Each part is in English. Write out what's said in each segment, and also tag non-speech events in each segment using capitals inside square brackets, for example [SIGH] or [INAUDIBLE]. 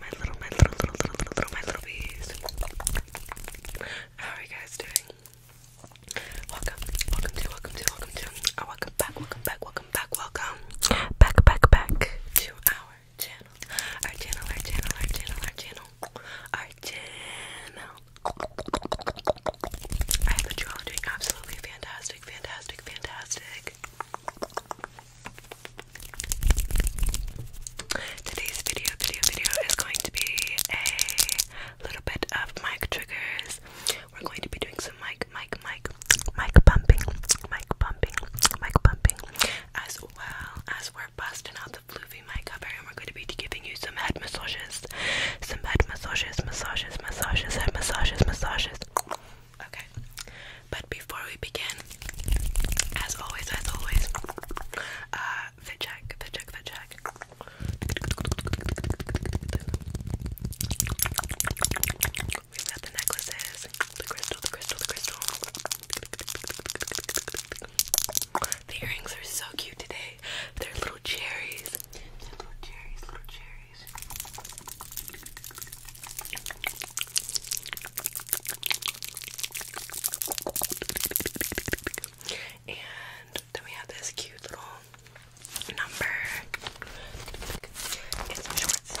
my little, my little, little, little, little, my little bees. How are you guys doing? Welcome, welcome to, welcome to, welcome to, uh, welcome back, welcome back, welcome back, welcome back, back, back to our channel, our channel, our channel, our channel, our channel, our channel. I have a you doing absolutely fantastic, fantastic, fantastic. Today's video, video, video is going to be a little bit of mic triggers. We're going to be doing some mic, mic, mic, mic pumping, mic pumping, mic pumping, as well as we're busting out the floofy mic cover and we're going to be giving you some head massages, some head massages, massages, massages, head massages, massages. Okay. But before we begin, as always, as always, uh, fit check, fit check, fit check. we got the necklaces, the crystal, the crystal, the crystal. The earrings are so cute today. They're little cherries. little cherries, little cherries. And then we have this cute little number. It's some shorts.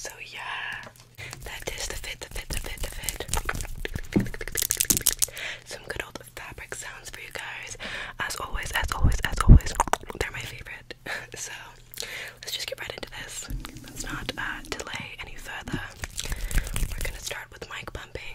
So yeah, that is the fit, the fit, the fit, the fit some good old fabric sounds for you guys. As always, as always, as always, they're my favorite. [LAUGHS] so let's just get right into this. Let's not uh, delay any further. We're gonna start with mic pumping.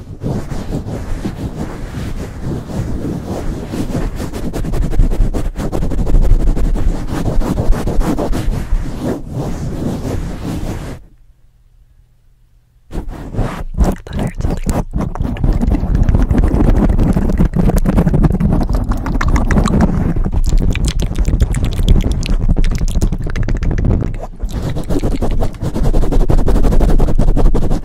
I heard something.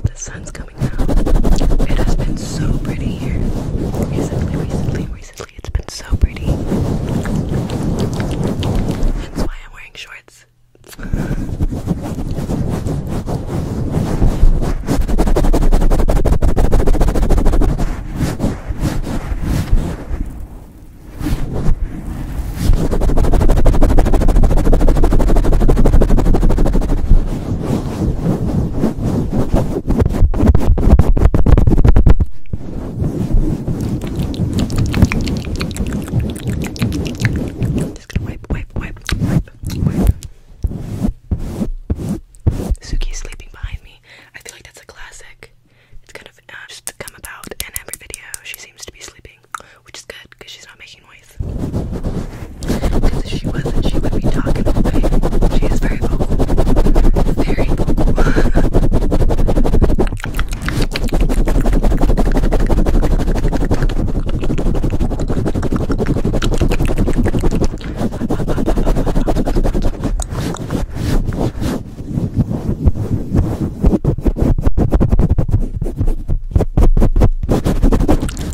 The sun's coming. It has been so pretty here. Recently, recently, recently, it's been so pretty. That's why I'm wearing shorts. Just gonna wipe, wipe, wipe, wipe, wipe. Suki's sleeping behind me. I feel like that's a classic. It's kind of uh, just come about in every video. She seems to be sleeping which is good because she's not making noise. Because if she was she would be talking She is very vocal. Very vocal.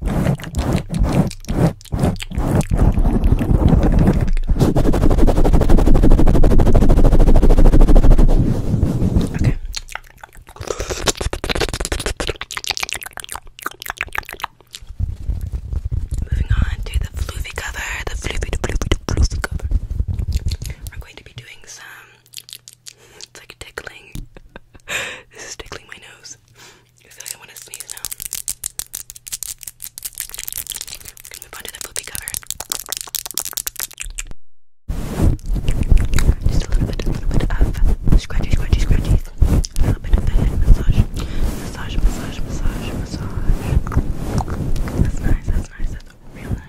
Okay. Moving on to the floofy cover, the floofy, the floofy, the floofy cover. We're going to be doing some. It's like tickling. [LAUGHS] this is tickling my nose sneeze. I feel like I want to sneeze now. Can we move on to the poopy cover? Just a little bit, a little bit of scratchy, scratchy, scratchy. A little bit of the head massage, massage, massage, massage, massage. That's nice. That's nice. That's real nice.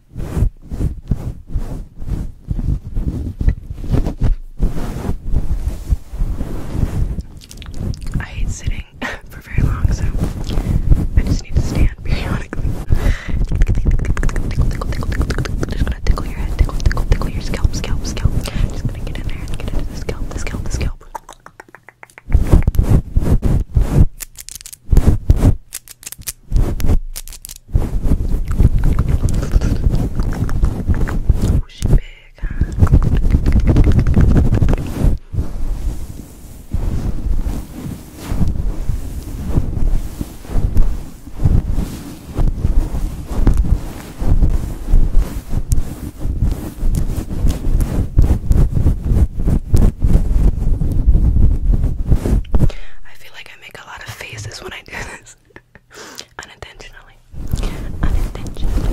I hate sitting [LAUGHS] for very long, so I just need to stand [LAUGHS] periodically. Just gonna tickle your head, tickle, tickle, tickle your scalp, scalp, scalp. Just gonna get in there get into the scalp, the scalp, the scalp. I feel like I make a lot of faces when I do this. [LAUGHS] Unintentionally. Unintentionally.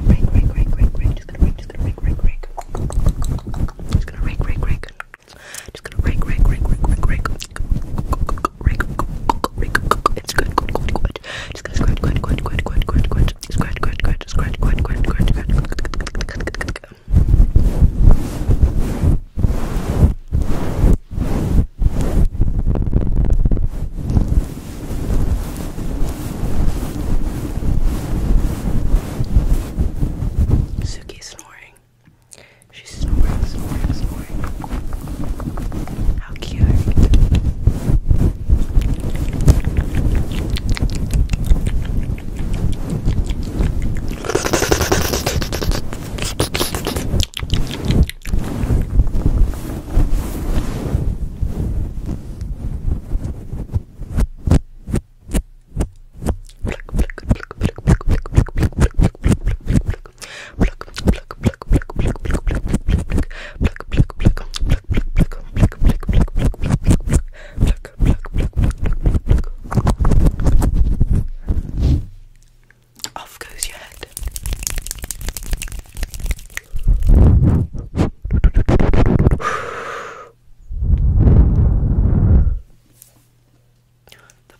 Right, right, right, right, right. Just gonna right, just gonna rake, rake, rake. Just gonna rake, rake, rake. Just gonna rake, rake, rake, rake, rake, rake. Rake, rake, it's good, good, good, good. Just gonna scratch, scratch, scratch, scratch, scratch, scratch, scratch, scratch, scratch, scratch, scratch, scratch, scratch, scratch, scratch. Good, Suki's snoring. She's snoring, snoring, snoring. How cute. Off goes your head. The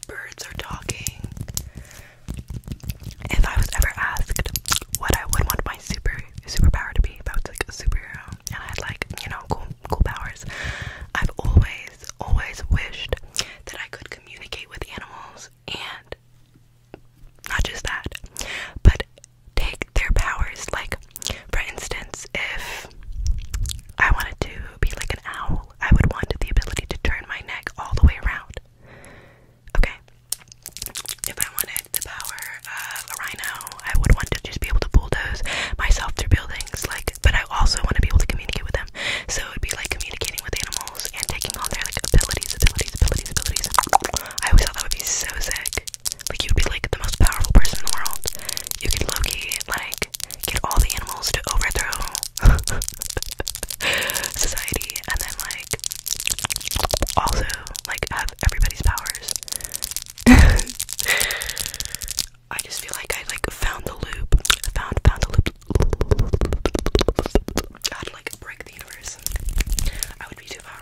birds are talking. If I was ever asked what I would want my super superpower to be, if I was like a superhero and I had like, you know, cool cool powers, I've always, always wished that I could communicate with animals and not just that, but take their powers. Like, for instance, if I wanted to be like an owl, I would want the ability to turn my neck all the way around. Okay. If I wanted the power of a rhino, I would want to just be able to bulldoze myself through buildings. Like, but I also want to be able to communicate with them. So it would be like communicating with animals and taking on their like abilities, abilities, abilities, abilities. I always thought that would be so sick. Like you'd be like the most powerful person in the world. You could Loki like get all the animals to overthrow [LAUGHS] society and then like also like have everybody's powers. [LAUGHS] I just feel like I like found the loop. I Found found the loop. I'd like break the universe. I would be too